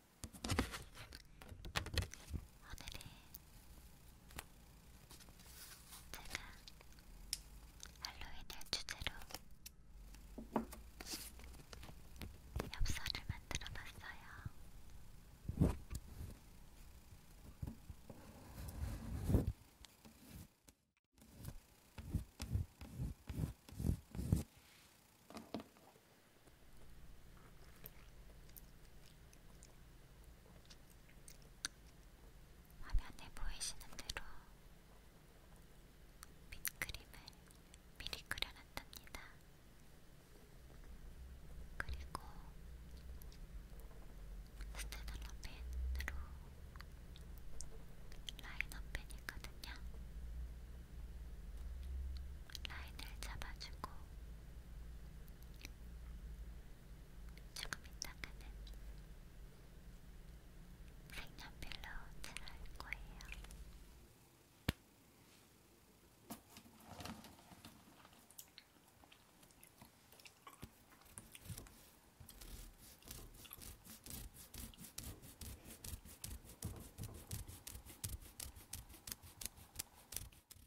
오늘은 제가 할로윈을 주제로 엽서를 만들어 봤어요. 화면에 보이시는 대로 밑그림을 미리 그려놨답니다. 그리고 스테놀러 펜으로 라이너 펜이거든요. 라인을 잡아주고 조금 있다가는 색연필로 칠할 거예요.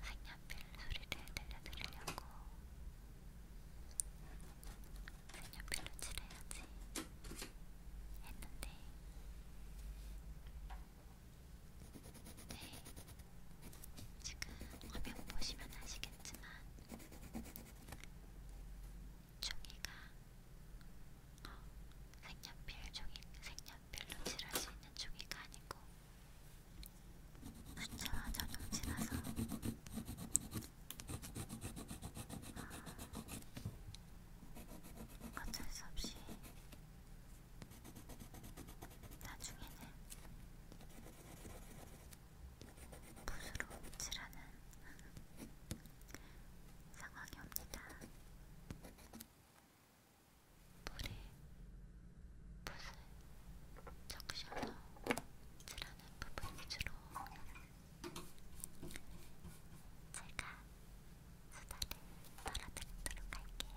색연필 소리를 들려드리려고 색연필로 칠해야지 했는데 네, 지금 화면 보시면 아시겠지만 종이가 어, 색연필 종이, 색연필로 칠할 수 있는 종이가 아니고 아침와 저녁 지나서 어쩔 수 없이 나중에는 붓으로 칠하는 상황이 옵니다. 물에 붓을 적셔서 칠하는 부분이 주로 제가 수다를 떨어뜨리도록 할게요.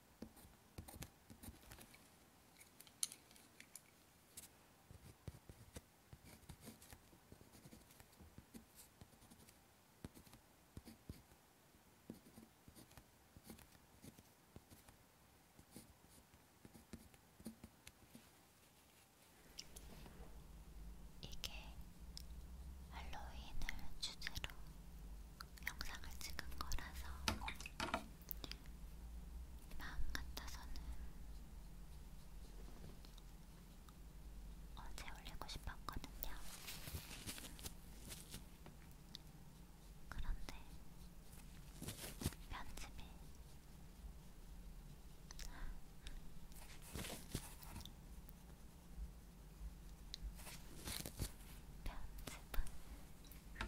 이게 할로윈을 주제로 영상을 찍은 거라서 마음 같아서는 어제 올리고 싶었거든요. 그런데 편집이 편집을 하고 이렇게 바르는 게 올리게 됐어요, 여러분.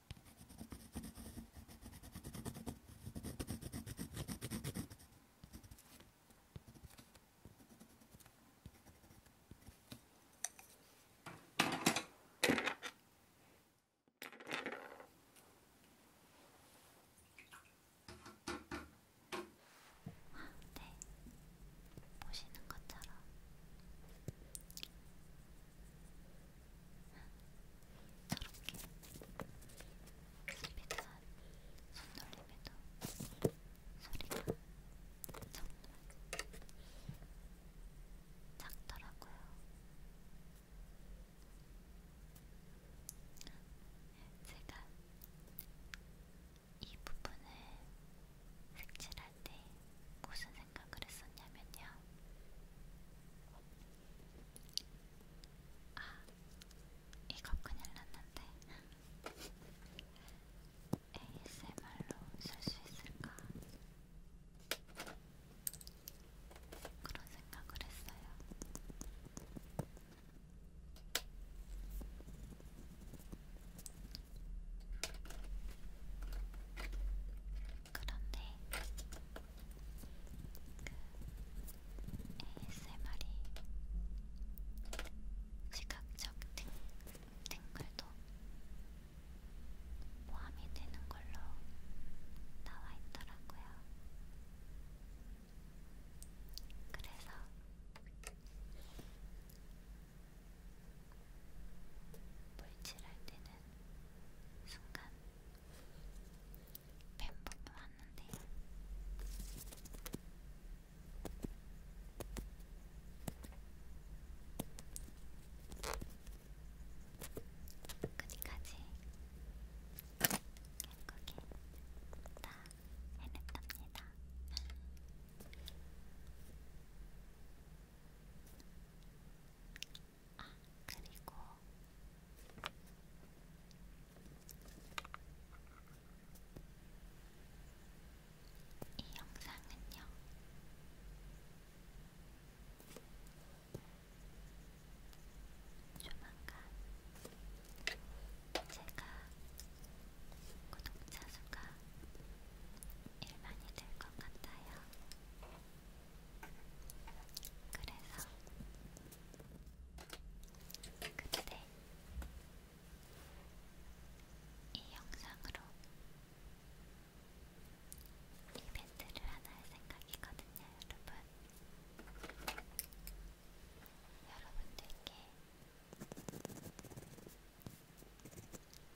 네, 보시는 것처럼 저렇게 스피드한 손놀림에도 소리가 정말 작더라고요. 제가 이 부분을 색칠할 때 무슨 생각을 했었냐면요. 아, 이거 큰일 났는데. ASMR로 쓸 수 있을까? 그런 생각을 했어요. 그런데 그 ASMR이 시각적 등, 등글도 포함이 되는 걸로 나와 있더라고요. 그래서 물질할 때는 순간 팬분이 왔는데요. 끝까지 결국에 다 해냈답니다. 아, 그리고 이 영상은요. 조만간 제가 구독자 수가 1만이 될 것 같아요. 그래서 그때 이 영상으로 이벤트를 하나 할 생각이거든요, 여러분. 여러분들께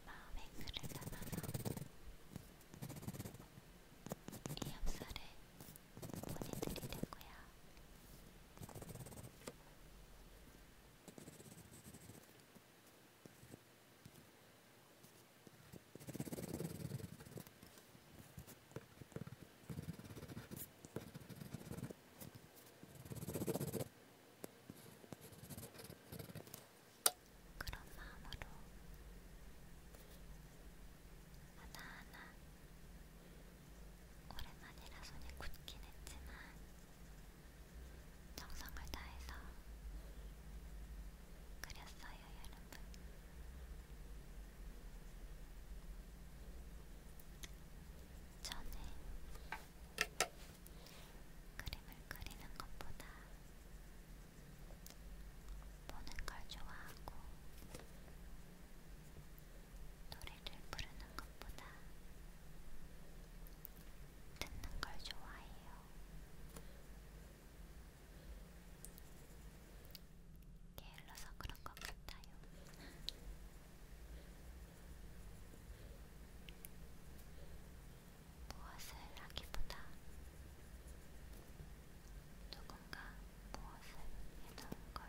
마음의 글을 담아서 이 엽서를 보내드리려고요. 그런 마음으로 하나하나 오랜만이라 손이 굳긴 했지만 정성을 다해서 그렸어요, 여러분. 저는 그림을 그리는 것보다 보는 걸 좋아하고 노래를 부르는 것보다 듣는 걸 좋아해요. 게을러서 그런 것 같아요. 무엇을 하기보다 누군가 무엇을 해놓은 걸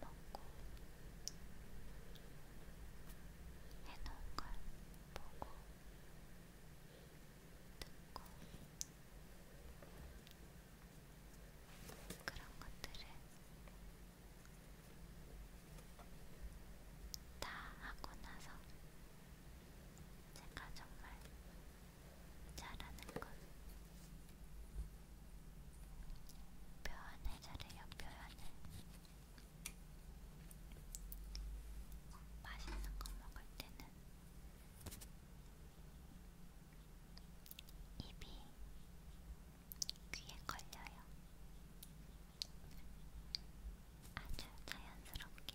먹고 해놓은 걸 보고 듣고 그런 것들을 다 하고 나서 제가 정말 잘하는 건 표현을 잘해요, 표현을. 맛있는 거 먹을 때는 입이 귀에 걸려요. 아주 자연스럽게.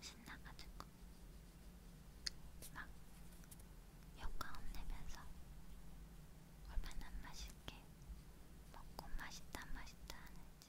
신나가지고 막 효과 혼내면서 얼마나 맛있게 먹고 맛있다 맛있다 하는지.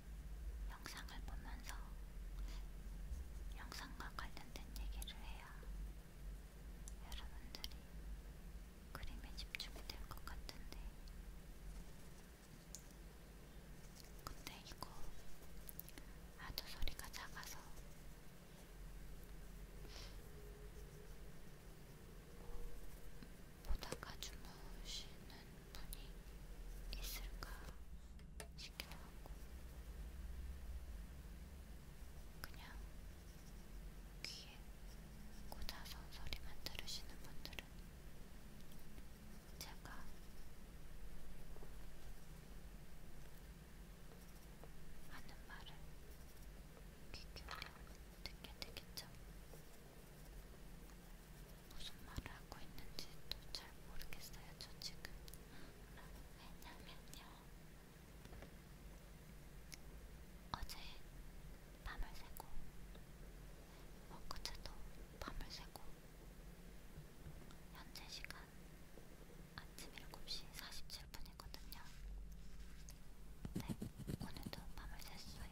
영상을 보면서 영상과 관련된 얘기를 해야 여러분들이 그림에 집중이 될 것 같은데 근데 이거 아주 소리가 작아서 보다가 주무시는 분이 있을까 싶기도 하고, 그냥 귀에 꽂아서 소리만 들으시는 분들은 제가 하는 말을 귀 기울여 듣게 되겠죠. 무슨 말을 하고 있는지도 잘 모르겠어요, 저 지금. 왜냐면요. 어제 밤을 새고, 엊그제도 밤을 새고, 현재 시간 아침 7시 47분이거든요. 네, 오늘도 밤을 샜어요.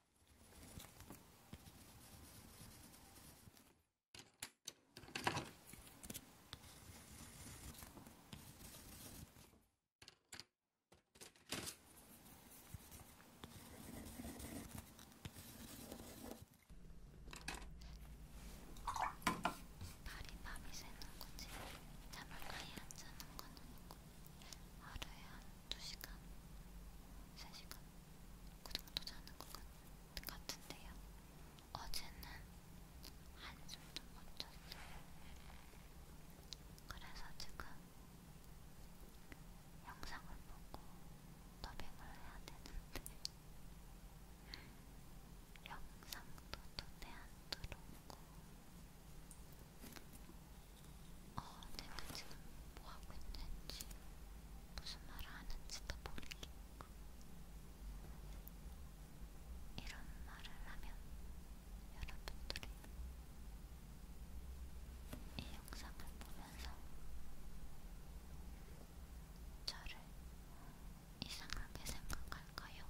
발이 밤이 새는 거지 자물가에 앉아는 건 아니고 하루에 한두 시간, 세 시간 그 정도 자는 것 같, 같은데요. 어제는 한숨도 못 잤어요. 그래서 지금 영상을 보고 더빙을 해야 되는데 영상도 눈에 안 들어오고 어, 내가 지금 뭐하고 있는지, 무슨 말을 하는지도 모르겠고, 이런 말을 하면 여러분들이 이 영상을 보면서 저를 이상하게 생각할까요?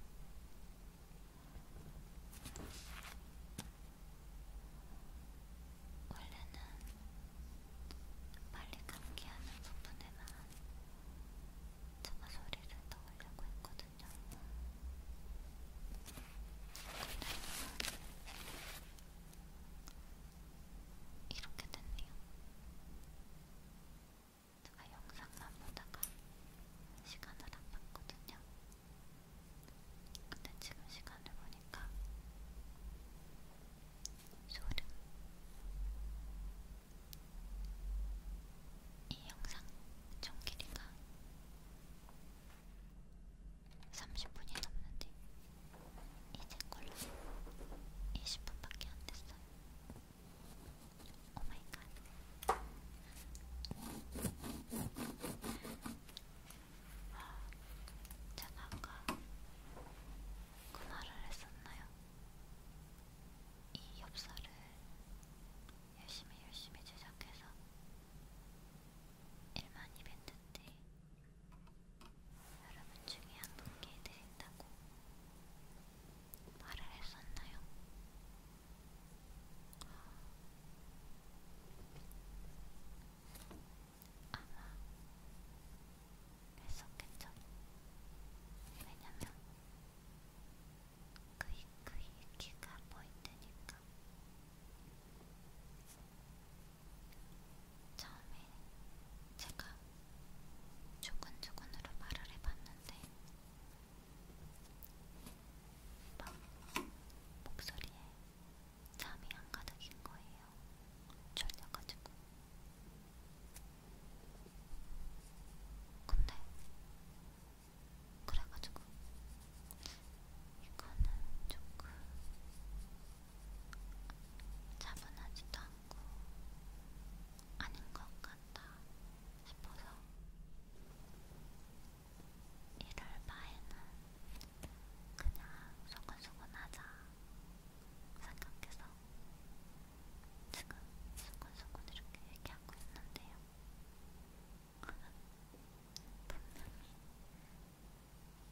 원래는 빨리 감기하는 부분에만 차마 소리를 넣으려고 했거든요. 이렇게 됐네요. 제가 영상만 보다가 시간을 안 봤거든요. 근데 지금 시간을 보니까 소름. 이 영상 총 길이가 30분이 넘는데 이제 걸로 20분밖에 안 됐어요. 오 마이 갓. 제가 아까 그 말을 했었나요? 이 엽서를 열심히 열심히 제작해서 1만 이벤트 때 여러분 중에 한 분께 드린다고 말을 했었나요? 아마 했었겠죠. 왜냐면 그이 그이 키가 보이테니까. 처음에 제가 조근조근으로 말을 해봤는데 막 목소리에 잠이 안 가득인 거예요. 졸려가지고. 근데 그래가지고 이거는 조금 차분하지도 않고 아닌 것 같다 싶어서 이럴 바에는 그냥 소근소근하자 생각해서 지금 소근소근 이렇게 얘기하고 있는데요. 분명히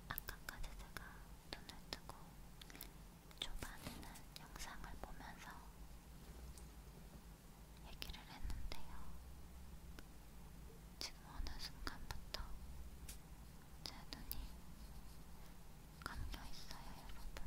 아까까지 제가 눈을 뜨고 초반에는 영상을 보면서 얘기를 했는데요. 지금 어느 순간부터 제 눈이 감겨 있어요, 여러분.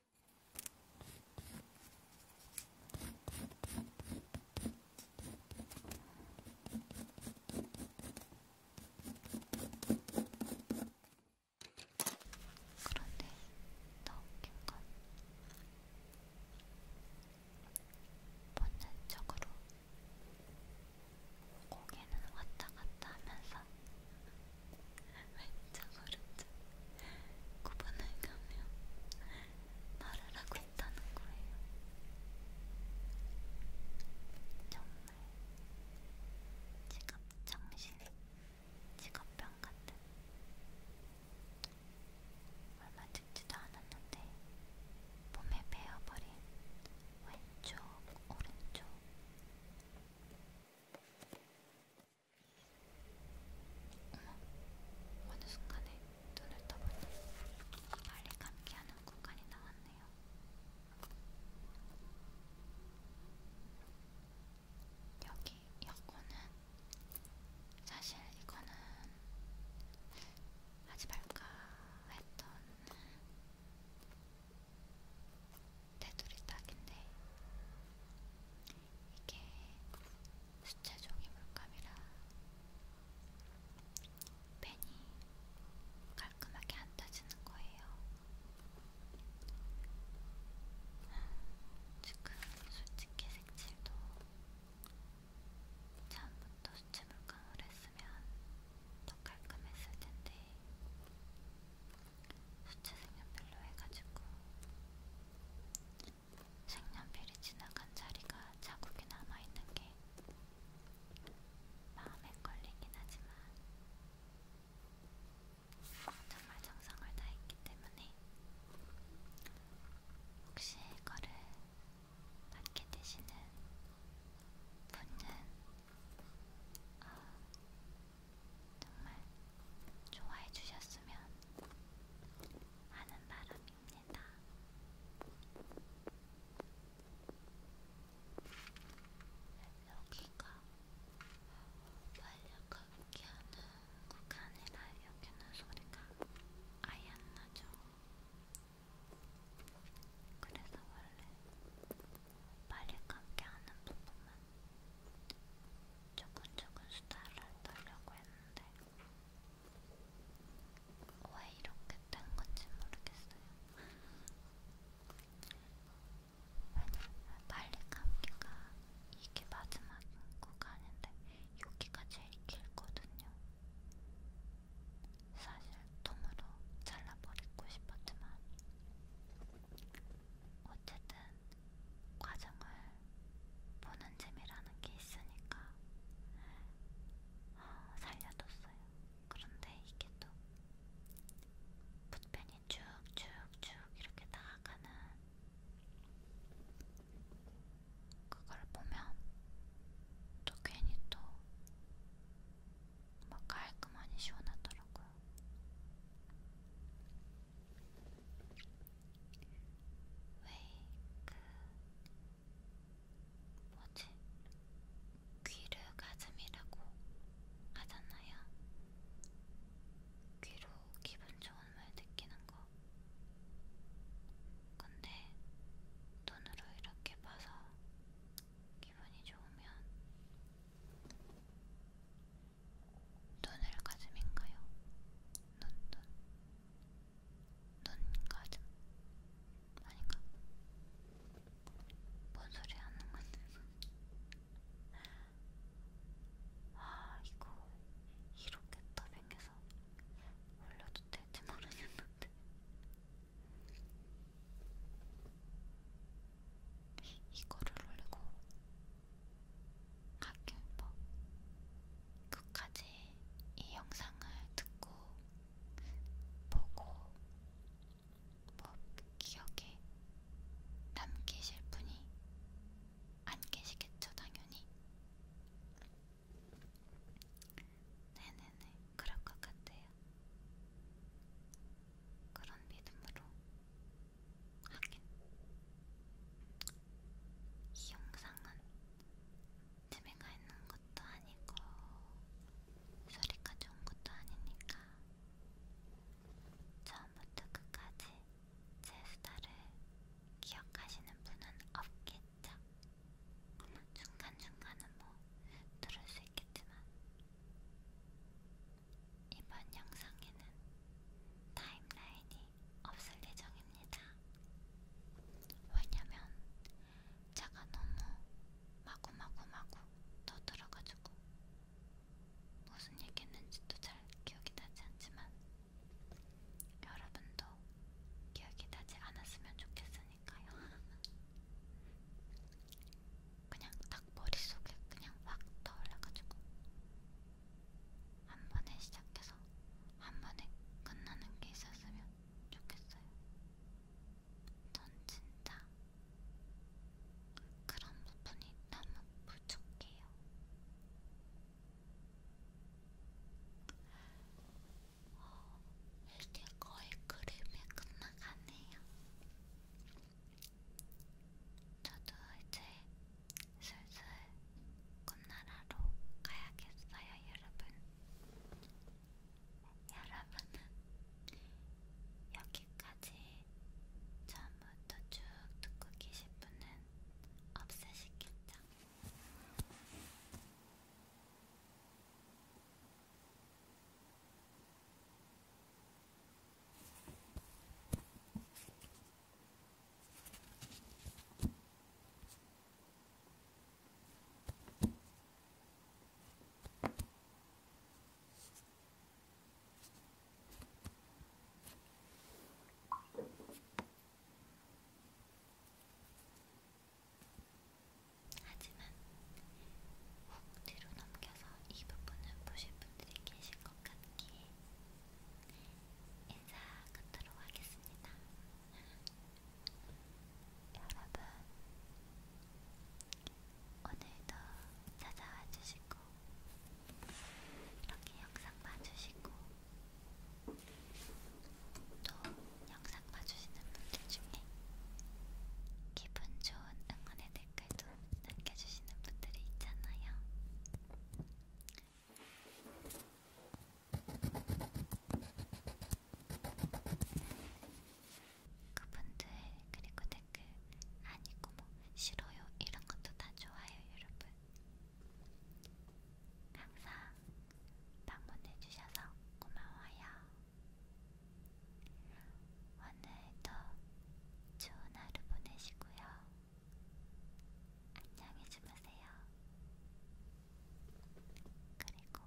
그런데 더 웃긴 건 본능적으로 고개는 왔다 갔다 하면서 왼쪽 오른쪽 구분을 가며 말을 하고 있다는 거예요. 정말 직업 정신, 직업병 같은 얼마 듣지도 않았는데 몸에 배어버린 왼쪽 오른쪽 어머, 어느 순간에 눈을 떠보니 빨리 감기하는 공간이 나왔네요. 여기 여고는 사실 이거는 하지 말까 했던 테두리 딱인데 이게 수채 종이 물감이라 펜이 깔끔하게 안 따지는 거예요. 음, 지금 솔직히 색칠도 처음부터 수채 물감을 했으면 더 깔끔했을 텐데 수채색은 별로 해가지고 색연필이 지나간 자리가 자국이 남아있는 게 마음에 걸리긴 하지만 정말 정성을 다했기 때문에 혹시 이거를 받게 되시는 분은 어, 정말 좋아해 주셨으면 하는 바람입니다. 여기가 완력한 기하는 구간이라 여기는 소리가 아예 안 나죠. 그래서 원래 빨리 감기 하는 부분만 조근조근 수다를 떨려고 했는데 왜 이렇게 된 건지 모르겠어요. 왜냐면 빨리 감기가 이게 마지막 구간인데 여기가 제일 길거든요. 사실 통으로 잘라버리고 싶었지만 어쨌든 과정을 보는 재미라는 게 있으니까 어, 살려뒀어요. 그런데 이게 또 붓펜이 쭉쭉쭉 이렇게 나아가는 그걸 보면 또 괜히 또 막 깔끔하니 시원하더라고요. 왜그 뭐지 귀를 가슴이라고 하잖아요. 귀로 기분 좋은 말 느끼는 거. 근데 눈으로 이렇게 봐서 기분이 좋으면 눈을 가슴인가요? 눈, 눈. 눈가죠? 아닌가? 뭔 소리 하는 건데? 아 이거 이렇게 더빙해서 올려도 될지 모르겠는데 이거를 올리고 학교법 뭐 끝까지 이 영상을 듣고 보고 뭐 기억에 남기실 분이 안 계시겠죠 당연히 네네네 그럴 것 같아요 그런 믿음으로 하긴 이 영상은 재미가 있는 것도 아니고 소리가 좋은 것도 아니니까 처음부터 끝까지 제 수다를 기억하시는 분은 없겠죠? 중간중간은 뭐 들을 수 있겠지만 이번 영상에는 타임라인이 없을 예정입니다. 왜냐면 차가 너무 마구마구마구 떠들어가지고 무슨 얘기했는지도 잘 기억이 나지 않지만 여러분도 기억이 나지 않았으면 좋겠으니까요. 그냥 딱 머릿속에 그냥 확 떠올라가지고 한 번에 시작해서 한 번에 끝나는 게 있었으면 좋겠어요. 전 진짜 그런 부분이 너무 부족해요. 어, 이제 거의 그림이 끝나가네요. 저도 이제 슬슬 꿈나라로 가야겠어요, 여러분. 여러분은 여기까지 처음부터 쭉 듣고 계신 분은 없으시겠죠? 하지만 훅 뒤로 넘겨서 이 부분은 보실 분들이 계실 것 같기에 인사 끝으로 하겠습니다. 여러분, 오늘도 찾아와 주시고, 이렇게 영상 봐주시고, 또 영상 봐주시는 분들 중에 기분 좋은 응원의 댓글도 남겨주시는 분들이 있잖아요. 그분들 그리고 댓글 아니고 뭐 싫어요 이런 것도 다 좋아요 여러분. 항상 방문해주셔서 고마워요. 오늘도 좋은 하루 보내시고요. 안녕히 주무세요. 그리고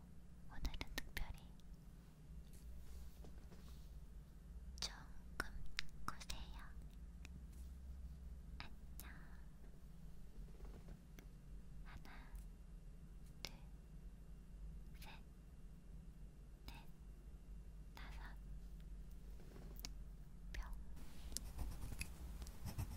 오늘은 특별히 조금 꾸세요. 안녕. 하나, 둘, 셋, 넷, 다섯. 뿅.